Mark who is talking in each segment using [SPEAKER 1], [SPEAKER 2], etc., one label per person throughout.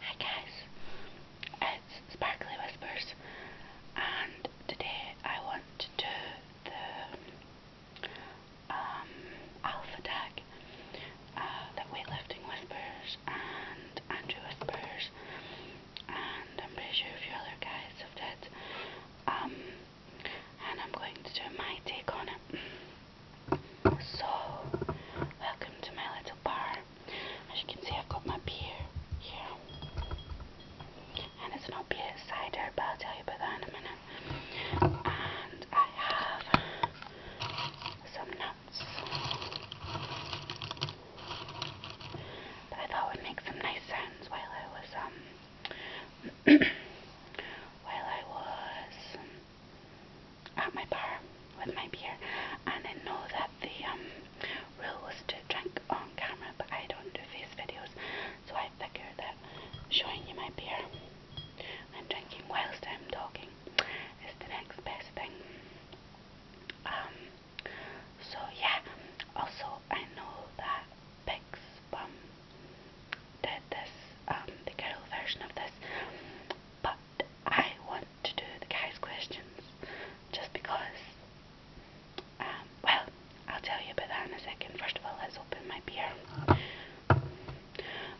[SPEAKER 1] Hi guys, it's Sparkly Whispers and today I want to do the um, alpha tag uh, Weightlifting Whispers and Andrew Whispers and I'm pretty sure a few other guys have did um, and I'm going to do my take on it. So, welcome to my little bar. As you can see, I've got my beer here. And it's not beer, it's cider, but I'll tell you about that in a minute. And I have some nuts. But I thought I would make some nice sounds while I was, um, while I was at my bar with my beer, and I know that the um, rule was to drink on camera, but I don't do face videos, so I figured that showing you my beer and drinking whilst I'm talking is the next best thing. Um, so yeah, also I know that Pig's Bum did this, um, the girl version of this, but I want to do the guy's questions just because. Um, well, I'll tell you about that in a second. First of all, let's open my beer.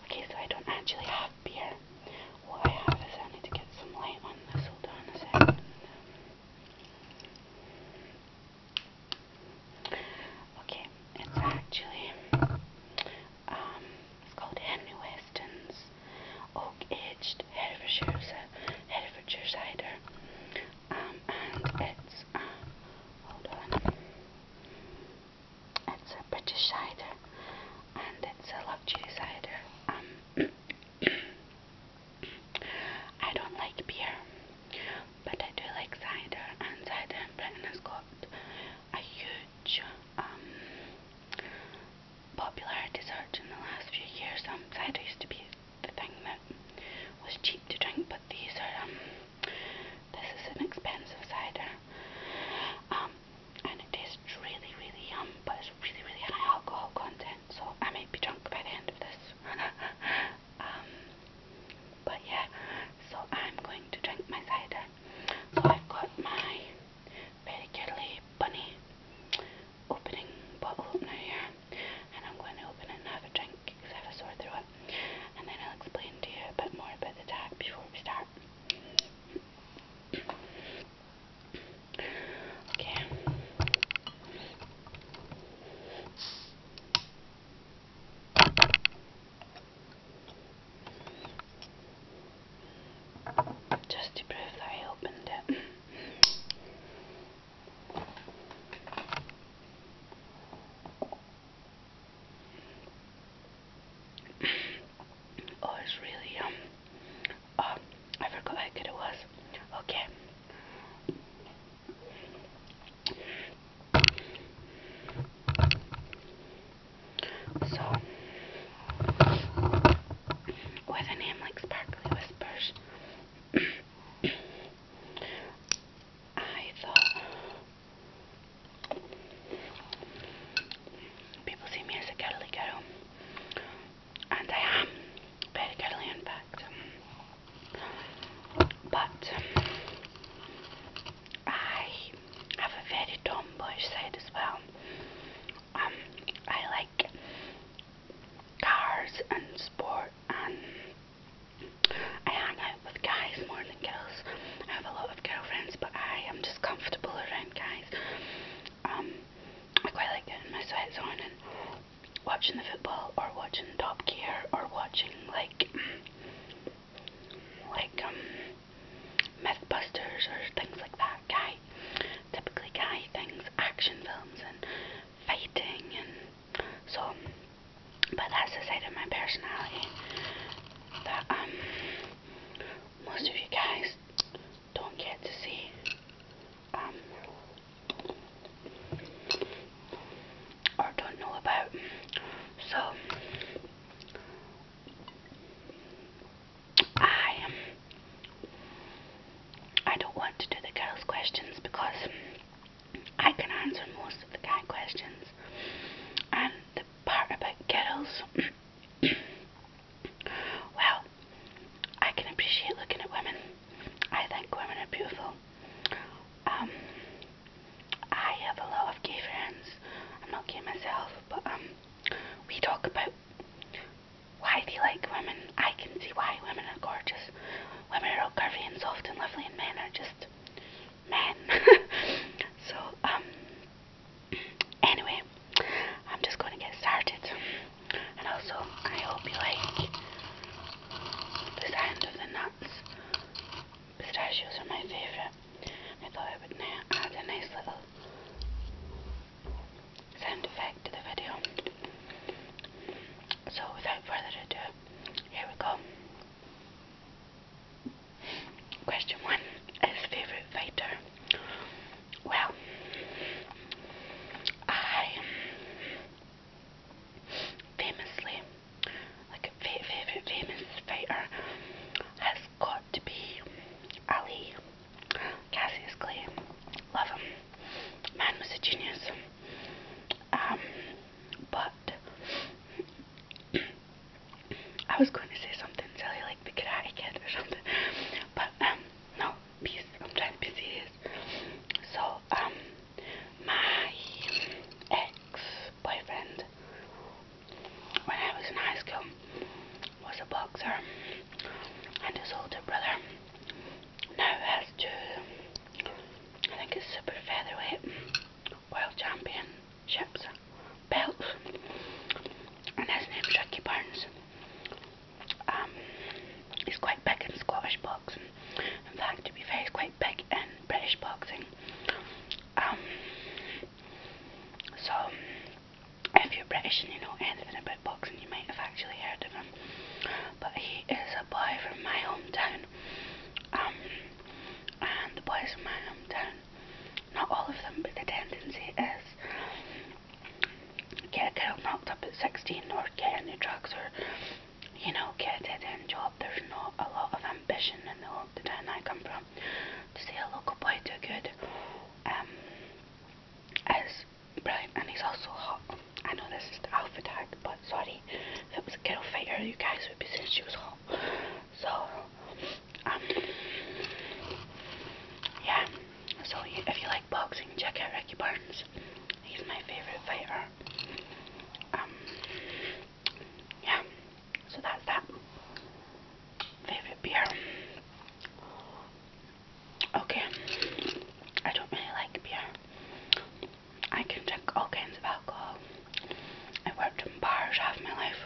[SPEAKER 1] Okay, so I don't actually have beer. What I have is I need to get some light on this. Hold on a second. Okay, it's actually um, it's called Henry Weston's Oak Edged Herefordshire, Herefordshire Cider. Um, and it's, uh, hold on, it's a British cider and it's a luxury cider. Um, I don't like beer, but I do like cider, and cider in Britain has got a huge um, popular dessert in the last few years. Um, cider used to be the thing that was cheap to drink, but these are um, this is an expensive cider, and it tastes really, really yum, but it's really, really high alcohol content. So I might be drunk by the end of this. but yeah, so I'm going to drink my cider. So I've got my very Curly Bunny opening bottle opener here. And I'm going to open it and have a drink have a sore throat. And then I'll explain to you a bit more about the tag before we start. Okay. Just to prove that I opened it. oh, it's really yum. Oh, I forgot how good it was. Okay. So, with a name like Sparkly Whispers, I thought people see me as a girly girl, and I am very girly in fact. But I have a very tomboy side as well. Um, I like cars and sport, and I hang out with guys more than girls. I have a lot of girlfriends, but I am just comfortable around guys. Um, I quite like getting my sweats on and watching the football, or watching Top Gear, or watching like like um Mythbusters or things like that, guy typically guy things, action films and fighting and so but that's the side of my personality that um most of you guys don't get to see. Um or don't know about. So I um, I don't want to do the girls' questions because I can answer most of the guy questions, and the part about girls. well, I can appreciate looking at women. I think women are beautiful. Um, I have a lot of gay friends. I'm not gay myself, but um, we talk about why they like women. I can see why women are gorgeous. Women are all curvy and soft and lovely, and men are just men. so, um, anyway, I'm just going to get started. And also, I hope you like the sound of the nuts Pistachios are my favorite. I thought I would add a nice little sound effect to the video. So without further ado, here we go. Question one is favorite fighter. Well, I famously, like a favorite famous fighter has got to be Ali, Cassius Clay. Love him. Man was a genius. Um, but I was going to say something silly like the Karate Kid or something, but um, no, peace. I'm trying to be serious. So um, my ex-boyfriend when I was in high school was a boxer and his older brother now has two I think it's super featherweight world championships belts and his name's Ricky Burns. Um he's quite big in Scottish boxing. In fact to be fair he's quite big in British boxing. Um, so, if you're British and you know anything about boxing, you might have actually heard of him. But he is a boy from my hometown. Um, and the boys from my hometown, not all of them, but the tendency is get a girl knocked up at 16 or get into drugs or, you know, get a dead end job. There's not a lot of ambition in the hometown I come from to see a local boy do good um, as brilliant. And he's also hot. I know this is the alpha tag, but sorry, that was a girl fighter, you guys would be saying she was hot. So, um, yeah. So if you like boxing, check out Ricky Burns. He's my favorite fighter. Um, yeah, so that's that. Favorite beer. Okay, I don't really like beer. I can drink all kinds of alcohol. I worked in bars half my life.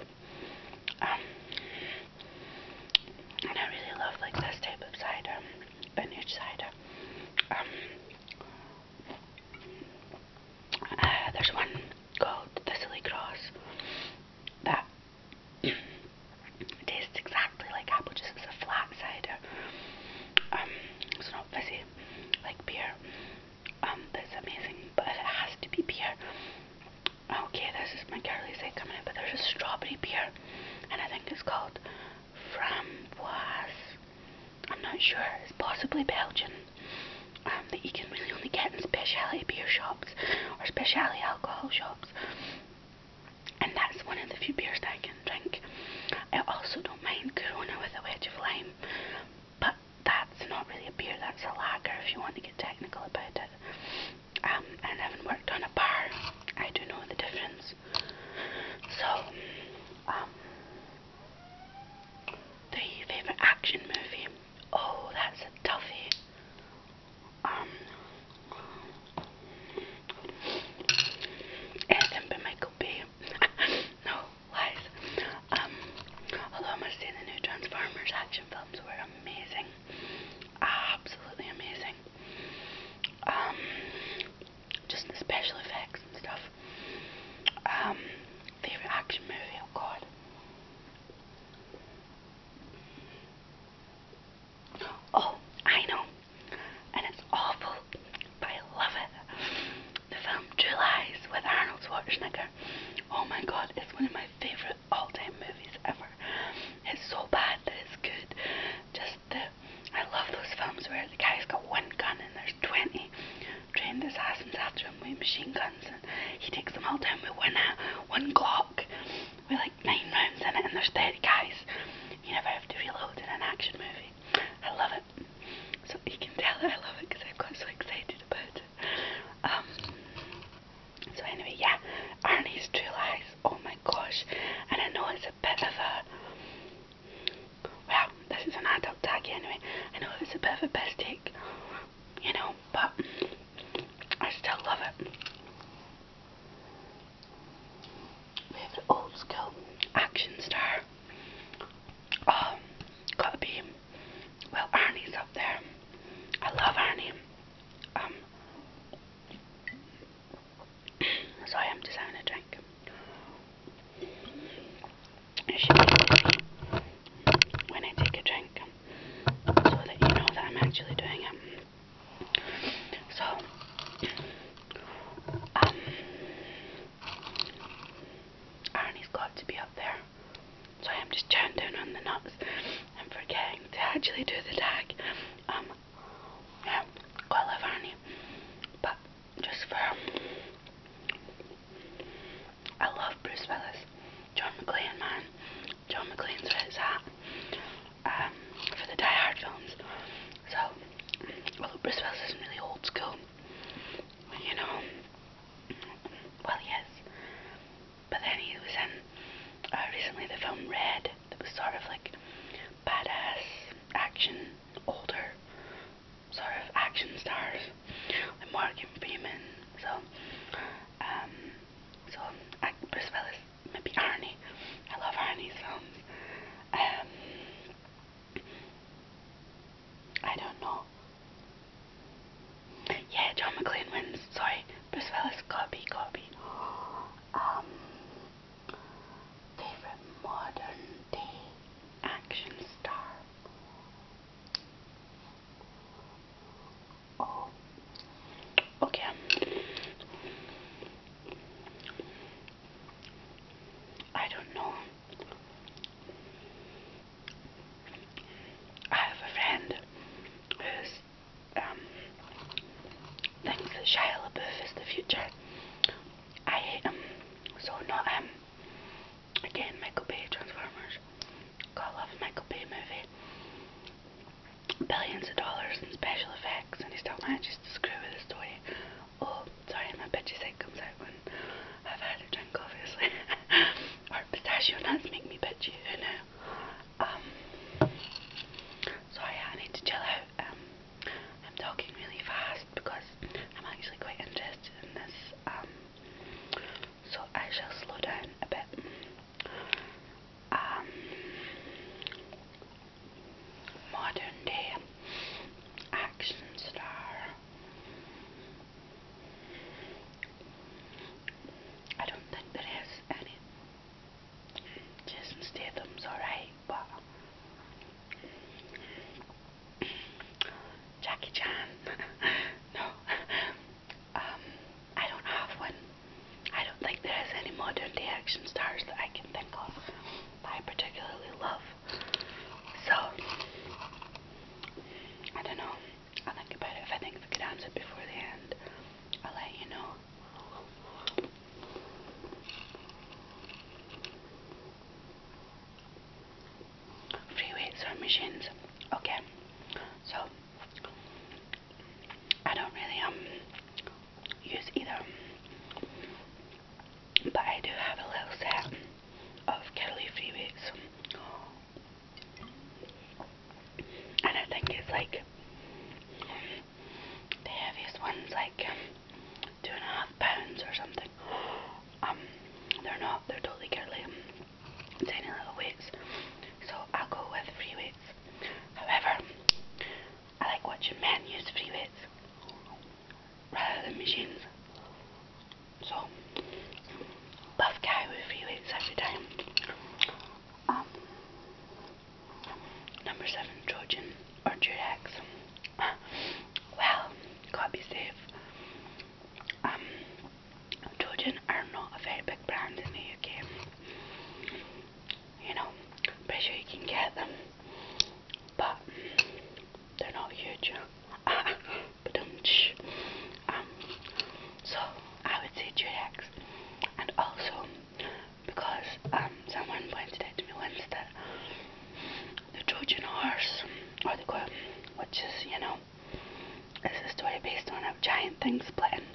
[SPEAKER 1] Um, and I really love like this type of cider, vintage cider. Um, uh, there's one called the Silly Cross that tastes exactly like apple juice. It's a flat cider. Um, it's not fizzy like beer. Um, that's amazing. But it has to be beer, okay, this is my girly side coming in. But there's a strawberry beer, and I think it's called framboise. I'm not sure. It's possibly Belgian. Um, that you can really only get in specialty beer shops or specialty alcohol shops. And that's one of the few beers that I can drink. I also don't mind Corona with a wedge of lime, but that's not really a beer, that's a lager if you want to get technical about it. I um, haven't worked on a bar, I do know the difference. So, um, favourite action movie. Oh, that's a toughie. Um, anything Michael Bay. no, lies. Um, although I must say the new Transformers action films were amazing. Absolutely amazing. Um, just the special effects and stuff. Um, favorite action movie, oh god. Oh, I know. And it's awful, but I love it. The film True Lies with Arnold Schwarzenegger. Oh my god, it's one of my favourite all time movies ever. It's so bad that it's good. Just the. I love those films where the guy's got one gun and there's 20 train this ass after him with machine guns and he takes them all down with one uh, one clock. We're like nine rounds in it and there's 30 guys. You never have to reload in an action movie. I love it. So you can tell I love it because I got so excited about it. Um, so anyway, yeah, Arnie's True Lies, oh my gosh. And I know it's a bit of a, well, this is an adult tag anyway. I know it's a bit of a piss take you know, but I still love it. old school action star. Um, gotta be, well, Arnie's up there. I love Arnie. Um, so I am just having a drink when I take a drink so that you know that I'm actually doing it. So, um, Arnie's to be up there. So I'm just chowing on the nuts and forgetting to actually do the tag. Um, yeah, I love Arnie, but just for I love Bruce Willis. John McClane, man. John McClane's where it's at. Um, for the Die Hard films. So, although Bruce Willis isn't really old school, you know, well, he is. But then he was in uh, recently the film Red, that was sort of like badass action, older sort of action stars with Morgan Freeman. So, um, so I, as well as maybe Arnie. I love Arnie's films. Um, I don't know. Yeah, John McClane wins. Sorry, Bruce Willis got Um, favorite modern day action star. Okay. I don't know. I have a friend who's um, thinks Shia LaBeouf is the future. I hate him. So not him. Um, Again, Michael Bay, Transformers, Call of Michael Bay movie. Billions of dollars and special effects, and he's still manages to screw with the story. Oh, sorry, my bitchy side comes out when I've had a drink, obviously. or pistachio nuts make me bitchy, you know. Um, sorry, I need to chill out. Um, I'm talking really fast because I'm actually quite interested in this. Um, so I shall slow down a bit. Um, modern day action star. I don't think there is any. Jason Statham's alright, but Jackie Chan. no. Um, I don't have one. I don't think there is any modern day action stars that I can think of I particularly love. So, I don't know. i think about it. If I think of a good answer before the end, I'll let you know. Free weights or machines. Okay, so I don't really um use either, but I do have a little set of Kelly freeways, and I think it's like the heaviest ones, like um, two and a half pounds or something. Um, they're not. They're totally curly tiny little wigs. So I'll go with free weights. However, I like watching men use free weights rather than machines. So, buff guy with free weights every time. Um, number seven, Trojan or Durex. Well, gotta be safe. Um, Trojan are not a very big brand in the UK. You know, pretty sure you can get them, but they're not huge. Um, um, so I would say Durex, and also because um someone pointed out to me once that the Trojan horse, or the goat, which is you know it's a story based on a giant thing splitting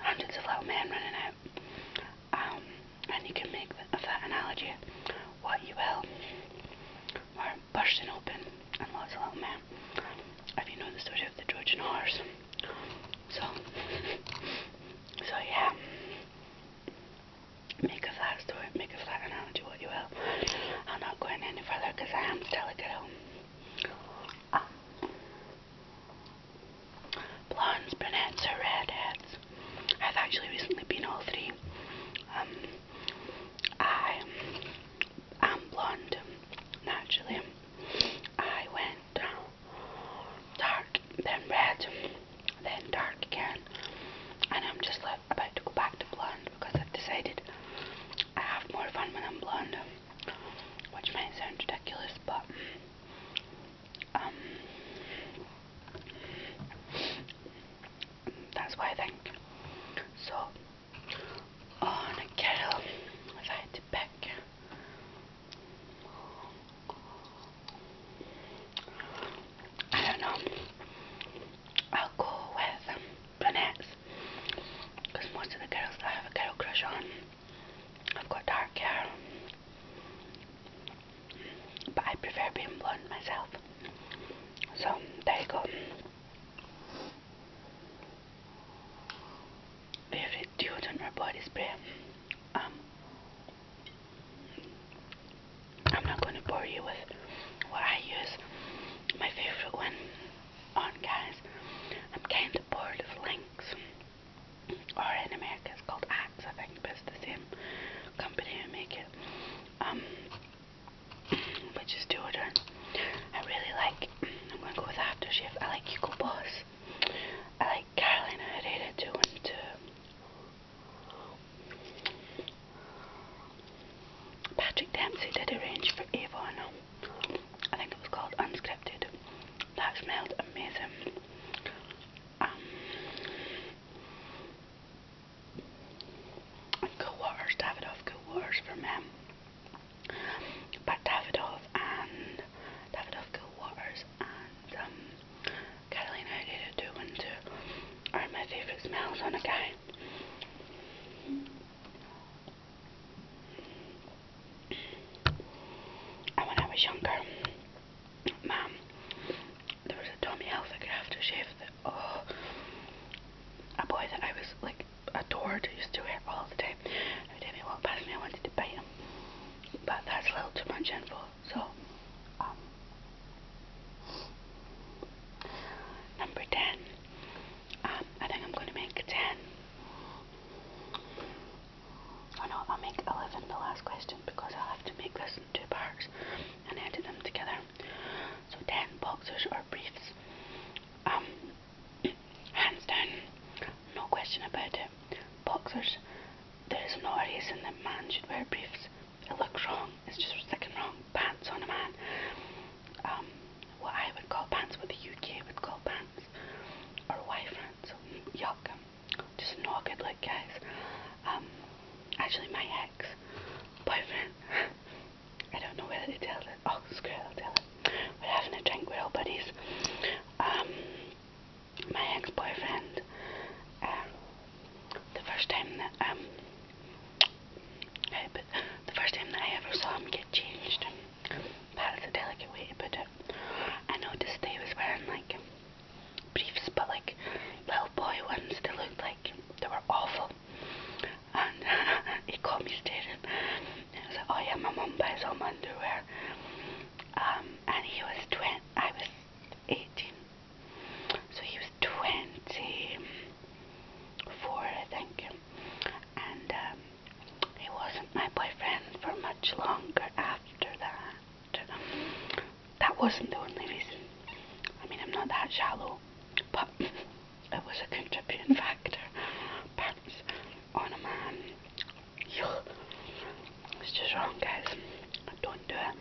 [SPEAKER 1] hundreds of little men running out. Um, and you can make of that analogy what you will. Or bursting open and lots of little men. If you know the story of the Trojan horse. So, so yeah. Make of that story, make of that analogy around what you will. I'm not going any further because I am still a girl. Ah. blondes, brunettes, or redheads. I've actually recently been all three. Um, I am blonde, naturally. I went dark, then red, then dark again. And I'm just like, about to go back to blonde because I've decided I have more fun when I'm blonde, which might sound ridiculous, but um, that's why I think. So, on a girl, if I had to pick, I don't know. I'll go with brunettes because most of the girls that I have a girl crush on have got dark hair. But I prefer being blonde myself. So there you go. Favorite deodorant or body spray? Um, I'm not going to bore you with what I use my favourite one on guys. I'm kind of bored of Lynx, or in America it's called Axe, I think, but it's the same company who make it, um, which is deodorant. I really like, I'm going to go with After Aftershave, I like Hugo Boss, I like Carolina Herrera too. Patrick Dempsey did a range for Avon. I think it was called Unscripted. That smelled amazing. Um, Waters, Davidoff Cool Waters for men. But Davidoff and Davidoff Cool Waters and um, Catalina Agata do are my favourite smells on a guy. And when I was younger, Mum, there was a Tommy Hilfiger aftershave that, oh, a boy that I was like adored, used to wear all the time. Every time he walked past me, I wanted to bite him. But that's a little too much info, so um, Number 10. Um, I think I'm going to make 10. I oh, no, I'll make 11 the last question because I'll have to make this in two parts and edit them together. So 10 boxers or briefs. Um, hands down, no question about it. Boxers, there is no reason that man should wear briefs. It looks wrong. It's just freaking wrong. Pants on a man um, what I would call pants, what the UK would call pants, or Y-fronts, yuck, just not good look guys, um, actually my ex-boyfriend, I don't know whether to tell it, oh screw it, I'll tell it, we're having a drink, we're all buddies, um, my ex-boyfriend, uh, um, the first time that, um, uh, but the first time that I ever saw him get changed, that is a delicate way to put it. I noticed they was wearing like briefs, but like little boy ones. They looked like they were awful. And he caught me staring. And I was like, oh yeah, my mum buys all my underwear. Um, and he was 20, I was 18. So he was 20 four, I think. And um, he wasn't my boyfriend for much longer after that. That wasn't the only reason. I mean, I'm not that shallow, but it was a contributing factor. Pants on a man. It's just wrong, guys. Don't do it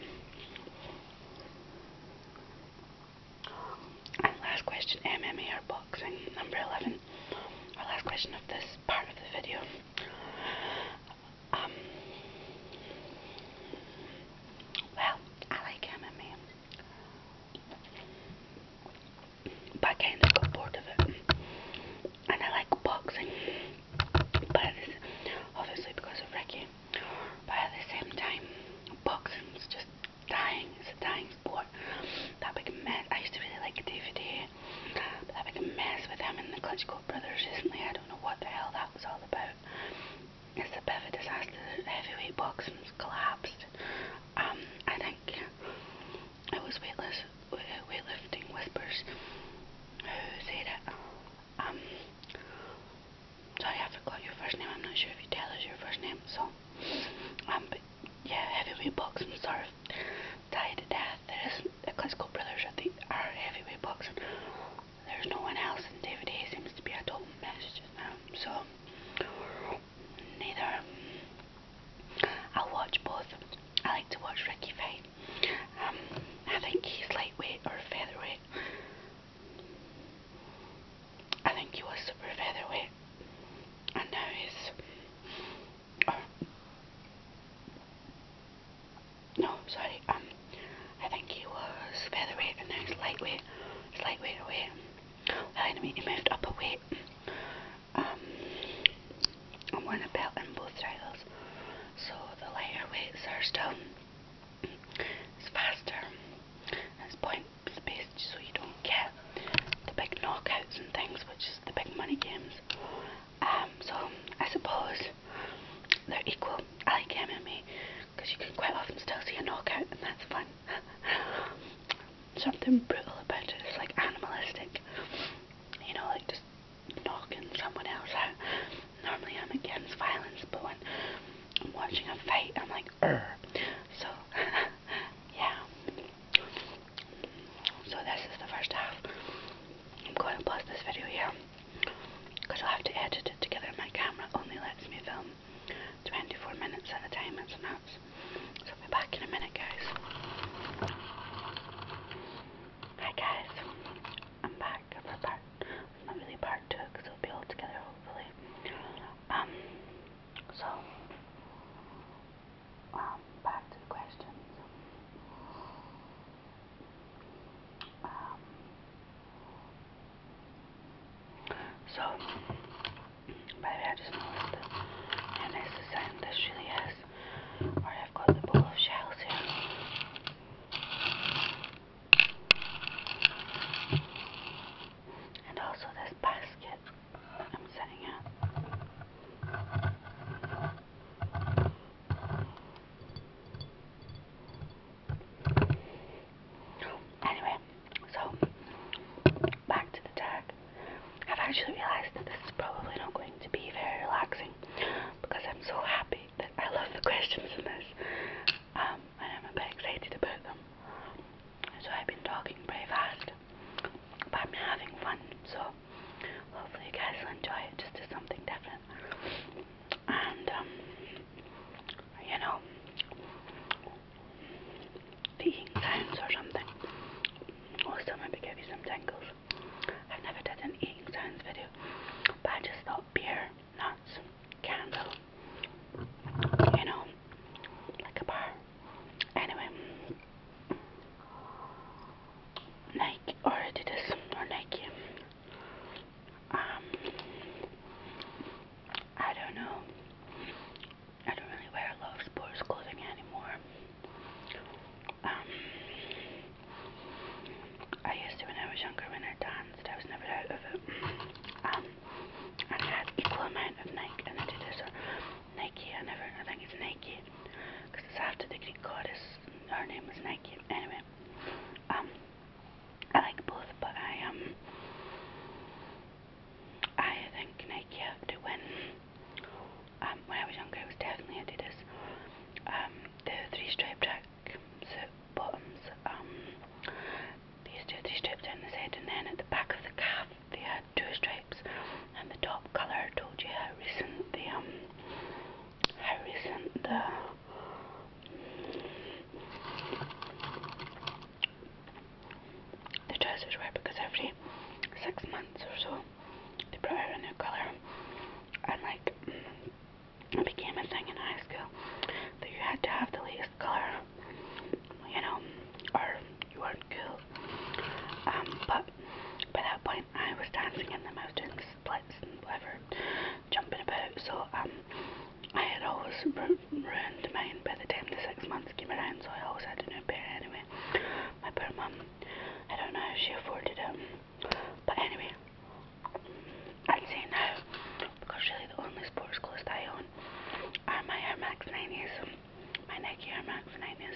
[SPEAKER 1] last question, MMAR boxing, number 11. Our last question of this part of the video. Um, well, I like MMA. But I kind of got bored of it. And I like boxing. But obviously because of Ricky. But at the same time, boxing is just dying. It's a dying sport. That big mess. I used to really like DVD. But that big mess with him and the Klitschko brothers recently. I don't know what the hell that was all about. It's a bit of a disaster. Heavyweight boxing's collapsed. Um, I think it was weightless, uh, weightlifting whispers who said it. Um, Sorry, I forgot your first name. I'm not sure if you tell us your first name. So, um, but yeah, heavyweight boxing sort of died to death. There isn't the Klitschko brothers at the are heavyweight boxing. There's no one else, and David Hayes seems to be a total mess just now. So, neither. I'll watch both. I like to watch Ricky fight. Um, I think he's lightweight or featherweight. I think he was super featherweight, and now he's. Oh. no, sorry. Um, I think he was featherweight, and now lightweight. lightweight away. I mean, he moved up a weight. Um, I'm gonna belt in both titles, so the lighter weights are still it's faster. It's point based so you don't get the big knockouts and things, which is the big money games. Um, so I suppose they're equal. I like MMA because you can quite often still see a knockout, and that's fun. Something brutal about it is like animalistic, you know, like just knocking someone else out. Normally I'm against violence, but when I'm watching a fight, I'm like, So, yeah. So this is the first half. I'm going to pause this video here because I'll have to edit it together. My camera only lets me film 24 minutes at a time. It's nuts. So I'll be back in a minute, guys. Hi guys, I'm back i really part two because we'll be all together hopefully. Um, so, um, back to questions. Um, so, by I just noticed and it's the same, this really is. Alright, I've got the bowl of shells here. And also this basket I'm sitting at. Anyway, so back to the tag. I've actually realized that this is probably not going to be very relaxing because I'm so happy that I love the questions in this. Um, I'm a bit excited about them. So I've been talking pretty fast, but I'm having fun, so hopefully you guys will enjoy it, just do something different. And, um, you know, eating sounds or something, also maybe give you some tingles. I've never done an eating sounds video, but just thought beer nuts, candle, you know, like a bar. Anyway, Nike or Adidas or Nike. Um, I don't know. I don't really wear a lot of sports clothing anymore. Um, I used to when I was younger when I danced. I was never out of it. Um, and I had equal amount of Nike, and I did this or Nike. I never, I think it's Nike, because it's after the Greek goddess. Her name was Nike. Anyway, um, I like both, but I um, I think Nike have to win. Um, when I was younger, I was definitely into this. Um, the three-stripe track suit bottoms. Um, these two, stripes down the side, and then at the back of the calf they had two stripes. And the top colour told you how recent the um, how recent the the trousers were because every six months or so they brought out a new colour and like it became a thing in high school that you had to have the latest color, you know, or you weren't cool. Um, but by that point, I was dancing in the I was splits and whatever, jumping about. So um, I had always ru ruined mine by the time the six months came around, so I always had a new pair anyway. My poor mum, I don't know how she afforded it. But anyway, i say now because really the only sports clothes I own are my Air Max 90s, my Nike Air Max 90s,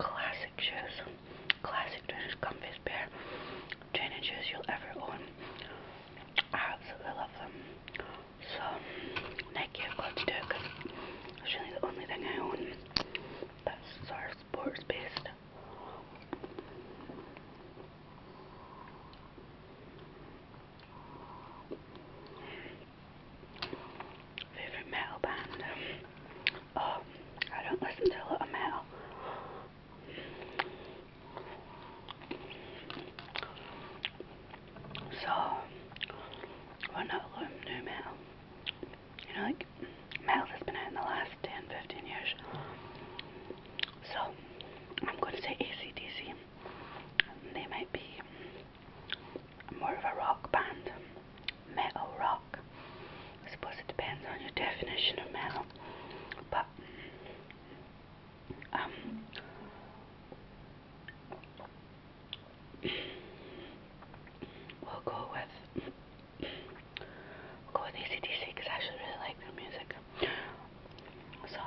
[SPEAKER 1] classic shoes, classic trainers, comfiest pair, training shoes you'll ever own. I absolutely love them. So Nike, I've got to do it because it's really the only thing I own that's sort of sports based. Favorite metal band? Oh, I don't listen to a lot of metal. So, well not a lot of new metal. You know, like, metal has been in the last 10, 15 years. So, I'm going to say ACDC. They might be more of a rock band, metal rock. I suppose it depends on your definition of metal, but um, we'll go with we'll go with ACDC because I actually really like their music. So,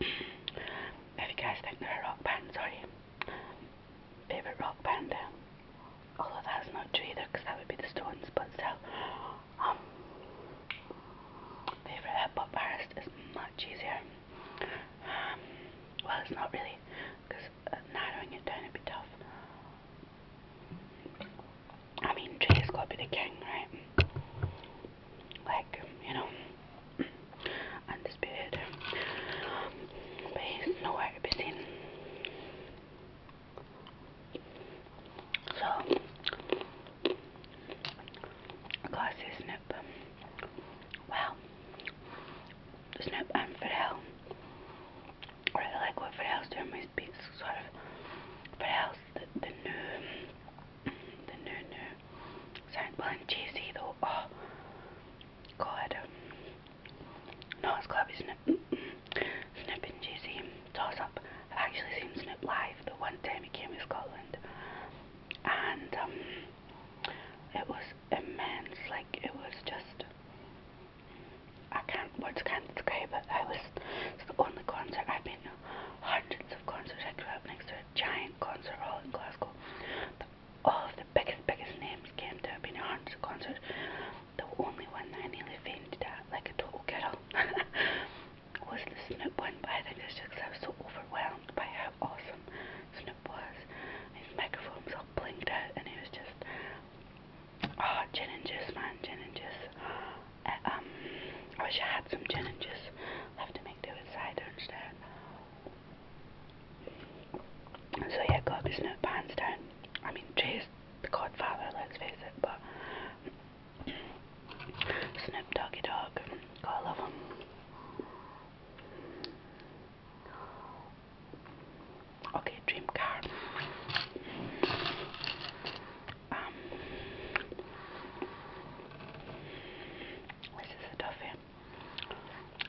[SPEAKER 1] if you guys think they're a rock band, sorry, favourite rock band. Although that's not true either, because that would be the Stones, but still. Um, favourite hip hop artist is much easier. Um, well, it's not really, because uh, narrowing it down would be tough. I mean, Jay's gotta be the king, right? Like, you know, undisputed. But he's nowhere to be seen. So, classy Snoop. Wow. Snoop and Fidel. really like what Fidel's doing with beats, sort of. Fidel's the new nu, zijn bankje zie je Oh, god. No, it's gotta be Snip. Snip and up. I've actually seen Snip live the one time he came to Scotland. And, um, it was immense. Like, it was just. I can't, words can't describe it. was, the only concert I've been hundreds of concerts. I grew up next to a giant concert hall in Glasgow. all of the biggest, biggest names came to have been hundreds of concerts. The only one that I nearly fainted at, like a total girl, was the Snoop one, but I think it's just because I was so overwhelmed by how awesome Snoop was. His microphones all blinked out, and he was just, oh, gin and juice, man, gin and juice. I, um, I wish I had some gin and just have to make do with cider instead. So yeah, got this new pants down. I mean, Jay's the godfather, let's face it, but Snoop Doggy Dog, gotta love him. Okay, dream car. Um, this is a toughie.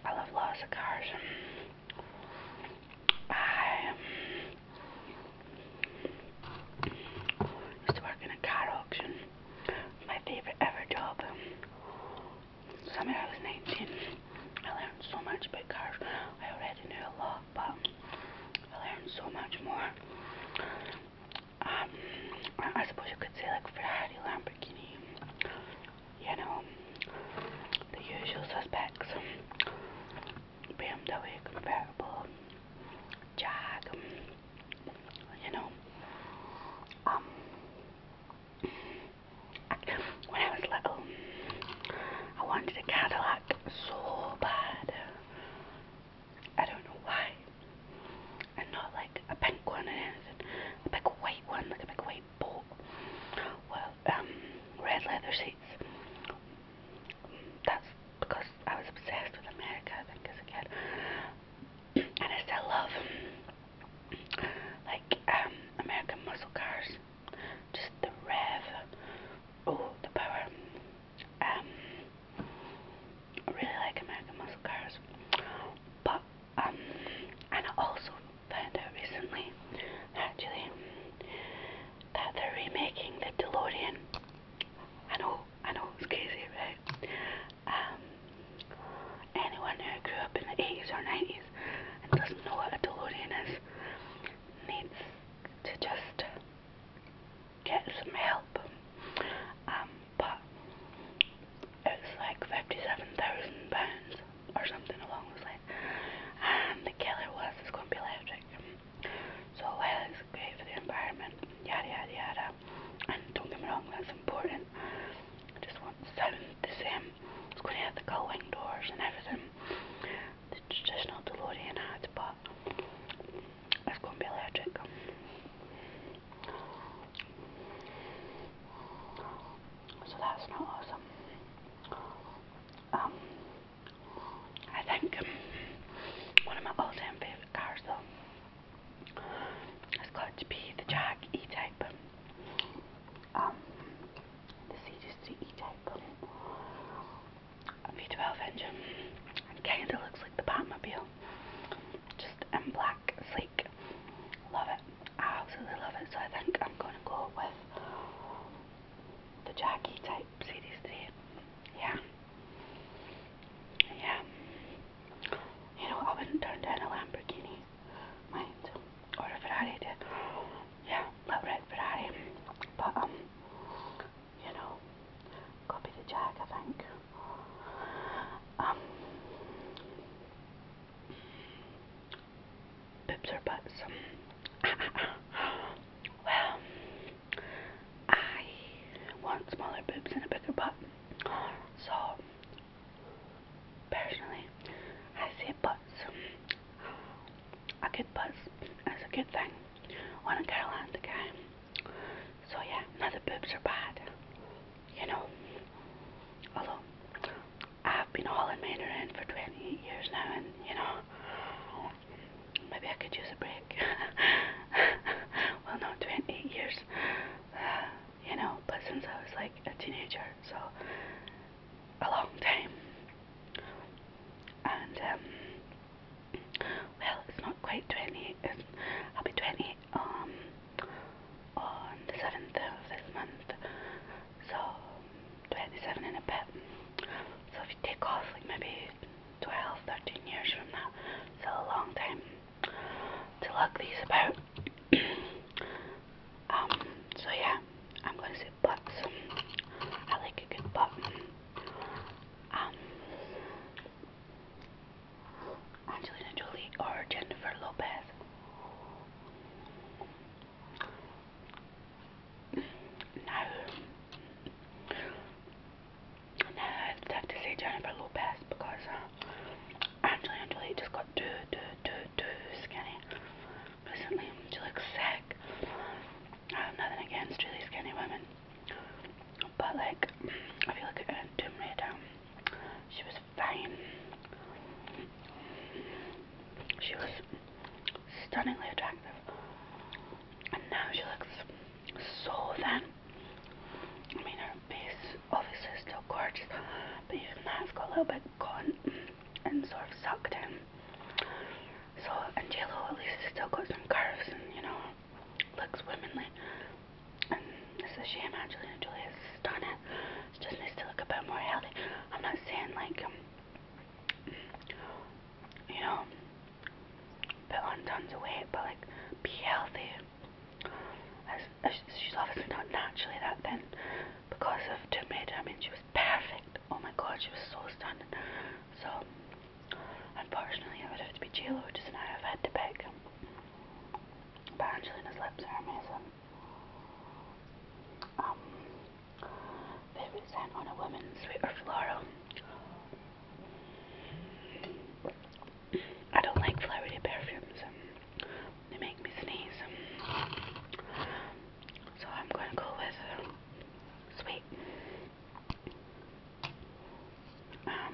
[SPEAKER 1] I love lots of cars. I used to work in a car auction. My favorite ever job. Summer I was 19. I learned so much about cars. I already knew a lot, but I learned so much more um, I suppose you could say like Ferrari, Lamborghini, you know, the usual suspects, BMW convertible, Jag, you know, um, I, when I was little, I wanted a Cadillac so bad, I don't know why. And not like a pink one or anything. A big white one, like a big white boat. Well, um, red leather seats. That's because I was obsessed with America, I think, as And I still love, like, um, American muscle cars. Just the rev. Oh, the power. Um, I really like American muscle cars, but um, and I also found out recently, actually, that they're remaking the DeLorean. I know, I know, it's crazy, right? Um, anyone who grew up in the 80s or 90s and doesn't know what a DeLorean is needs to just get some help. Um, but it's like fifty-seven thousand pounds or something along those lines. And the killer was it's going to be electric. So while it's great for the environment, yada yada yada, and don't get me wrong, that's important. just want the sound the same. It's going to have the gullwing doors and everything. The traditional DeLorean had, but it's going to be allergic. So that's not awesome. Um, I think um, one of my all-time favourite cars though has got to be the Jag E-Type. Um, the Series E-Type v V12 engine. kind of looks like the Batmobile. Just in black, sleek. Love it. absolutely love it. So I think I'm going to go with the Jackie type Series Yeah. Yeah. You know, I wouldn't turn down a Lamborghini, mind, or Ferrari. To, yeah, little red Ferrari. But um, you know, copy the jag, I think. Um, boobs or butts? well, I want smaller boobs and a bigger butt. So, personally, I say butts. A good butt is a good thing. When a girl and a guy so yeah, now the boobs are bad. You know. Although I've been hauling mine around for 28 years now and you know maybe I could use a break. well not 28 years. Uh, you know, but since I was like a teenager, so a long time. And um well, it's not quite 20. I'll be 20 um, on the 7th of this month. So, 27 in a bit. So, if you take off like maybe 12, 13 years from now, it's a long time to lug these about. um, so, yeah, I'm going to say butts. I like a good button. Um, Angelina Jolie or Jennifer Lopez. Now, now I'd to say Jennifer Lopez because uh, Angelina Jolie just got too, too, too, too skinny recently. She looks sick. I have nothing against really skinny women, but like, I feel like uh, Tomb Raider, she was fine. She was stunningly attractive. And now she looks so thin. I mean, her face obviously is still gorgeous, but even that's got a little bit gone and sort of sucked in. So, and at least has still got some curves and, you know, looks womanly. And it's a shame Angelina Jolie has done it. She just needs to look a bit more healthy. I'm not saying like um, you know, put on tons of weight, but like be healthy. As, as she's obviously not naturally that thin because of Tomb Raider. I mean, she was perfect. Oh my God, she was so stunning. So Unfortunately, I would have to be J-Lo, which I've had to pick. But Angelina's lips are amazing. Um, 50 Cent on a Woman, Sweet or Floral. I don't like flowery perfumes. they make me sneeze. so I'm going to go with uh, Sweet. Um,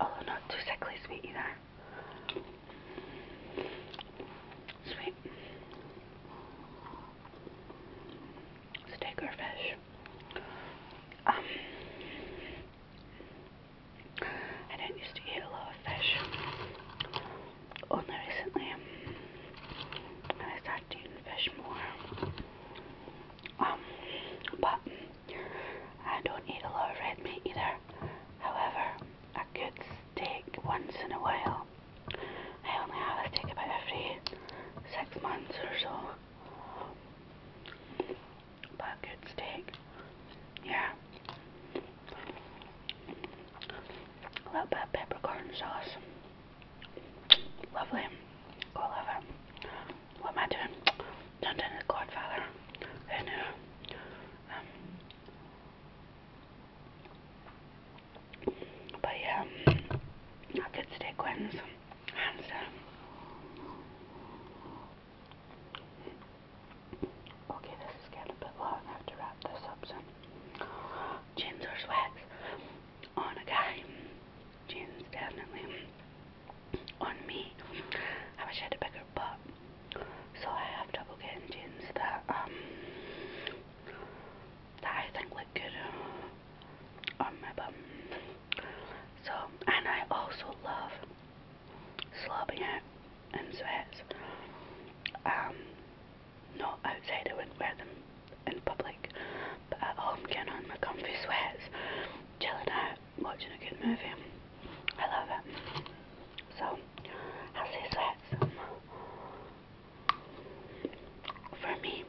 [SPEAKER 1] although not too sickly sweet either. Sweet. Steak or fish? Um, I don't used to eat a lot of fish. Only recently, I started eating fish more. Um, but I don't eat a lot of red meat either. However, a good steak once in a while. I only have a steak about every six months or so. But a good steak. Yeah. A little bit of peppercorn sauce. Lovely. Go love her. What am I doing? Turned into the Godfather. Who knew? Um, but yeah, I could wins. Okay, this is getting a bit long. have to wrap this up soon. Jeans or sweats? on a guy. Jeans, definitely. On me. I wish I had a bigger butt. So I have trouble getting jeans that, um, that I think look good uh, on my bum. So, and I also love slobbing it in sweats. Um, not outside, I wouldn't wear them in public, but at home, getting on my comfy sweats, chilling out, watching a good movie. I love it. So, I'll say sweats. For me,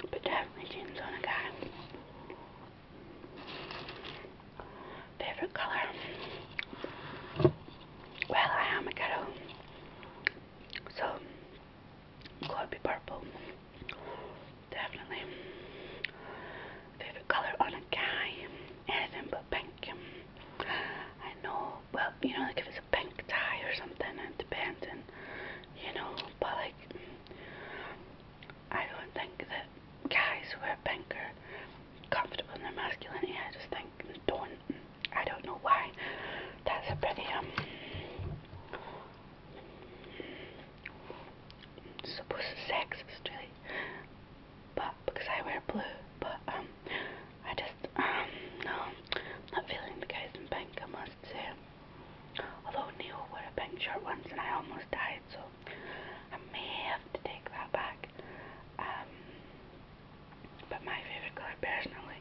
[SPEAKER 1] but definitely jeans on a guy. Favorite colour? Well, I am a girl, so could be purple. Definitely. Favorite color on a guy? Anything but pink. I know, well, you know, like if it's a pink tie or something, it depends, and you know, but like, I don't think that guys who are pink are comfortable in their masculinity. I just think don't. I don't know why. That's a pretty um supposed to sexist really. But because I wear blue, but um I just um no not feeling the guys in pink I must say. Although Neil wore a pink shirt once and I almost died so I may have to take that back. Um but my favourite colour personally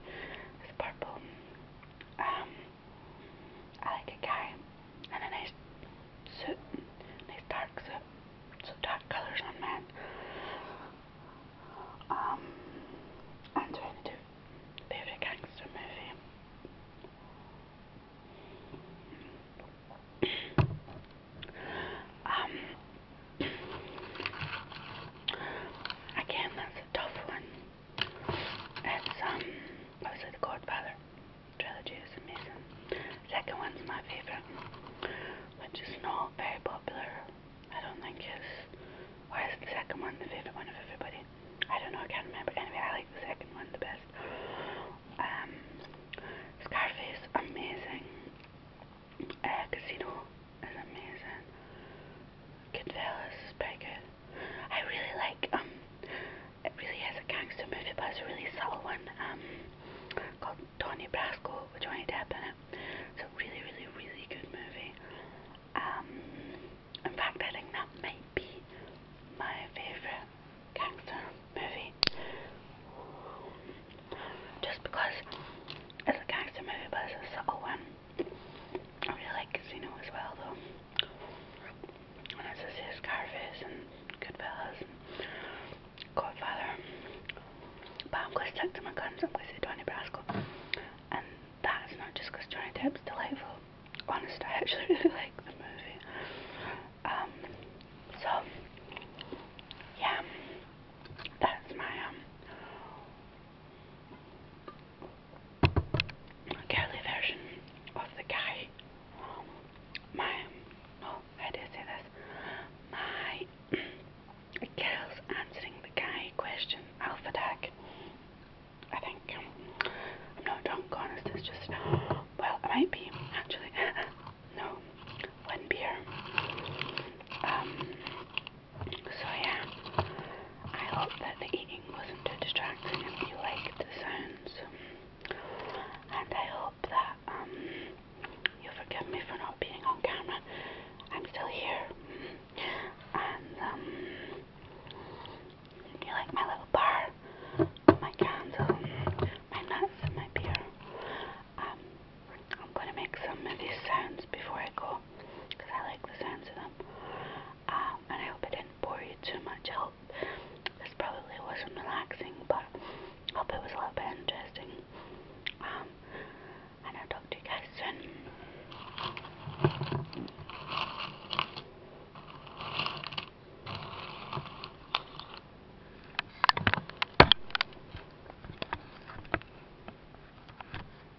[SPEAKER 1] is purple um, I like a guy in a nice suit, nice dark suit, so dark colours on men. Um, I'm trying to do favourite gangster movie. um, again, that's a tough one. It's um also the Godfather trilogy is amazing. Second one's my favourite, which is not very popular. I don't think it's or is the second one the favourite one of everybody? I don't know, I can't remember. Anyway, I like the second one the best. Um Scarface, amazing. Uh, casino is amazing. Goodfellas is pretty good. I really like, um, it really is a gangster movie, but it's a really subtle one, um, called Donnie Brasco with Johnny Depp in it. It's a really, really, really good movie. Um, in fact, I think that might be my favourite gangster movie. Just because it's a gangster movie, but it's a subtle one. I really like Casino as well, though. When I see Scarface and Goodfellas Godfather, but I'm going to stick to my guns. I'm going to say Donnie Brasco, and that's not just Johnny Depp's delightful. Honest, I actually really like the movie. Um, so yeah, that's my um girly version of the guy. my no, how do say this? My girls answering the guy question. Alpha deck. I think I'm not drunk, honest. It's just well, I might be actually. no, one beer. Um, so yeah, I hope that the eating wasn't too distracting and you like the sounds. And I hope that um, you'll forgive me for not being on camera. I'm still here. And um, you like my little bar, my candle, my nuts, and my beer. Um, I'm going to make some of these sounds before I go because I like the sounds of them. Um, and I hope I didn't bore you too much. I hope this probably wasn't relaxing, but I hope it was a little bit interesting. Um, I'll talk to you guys soon.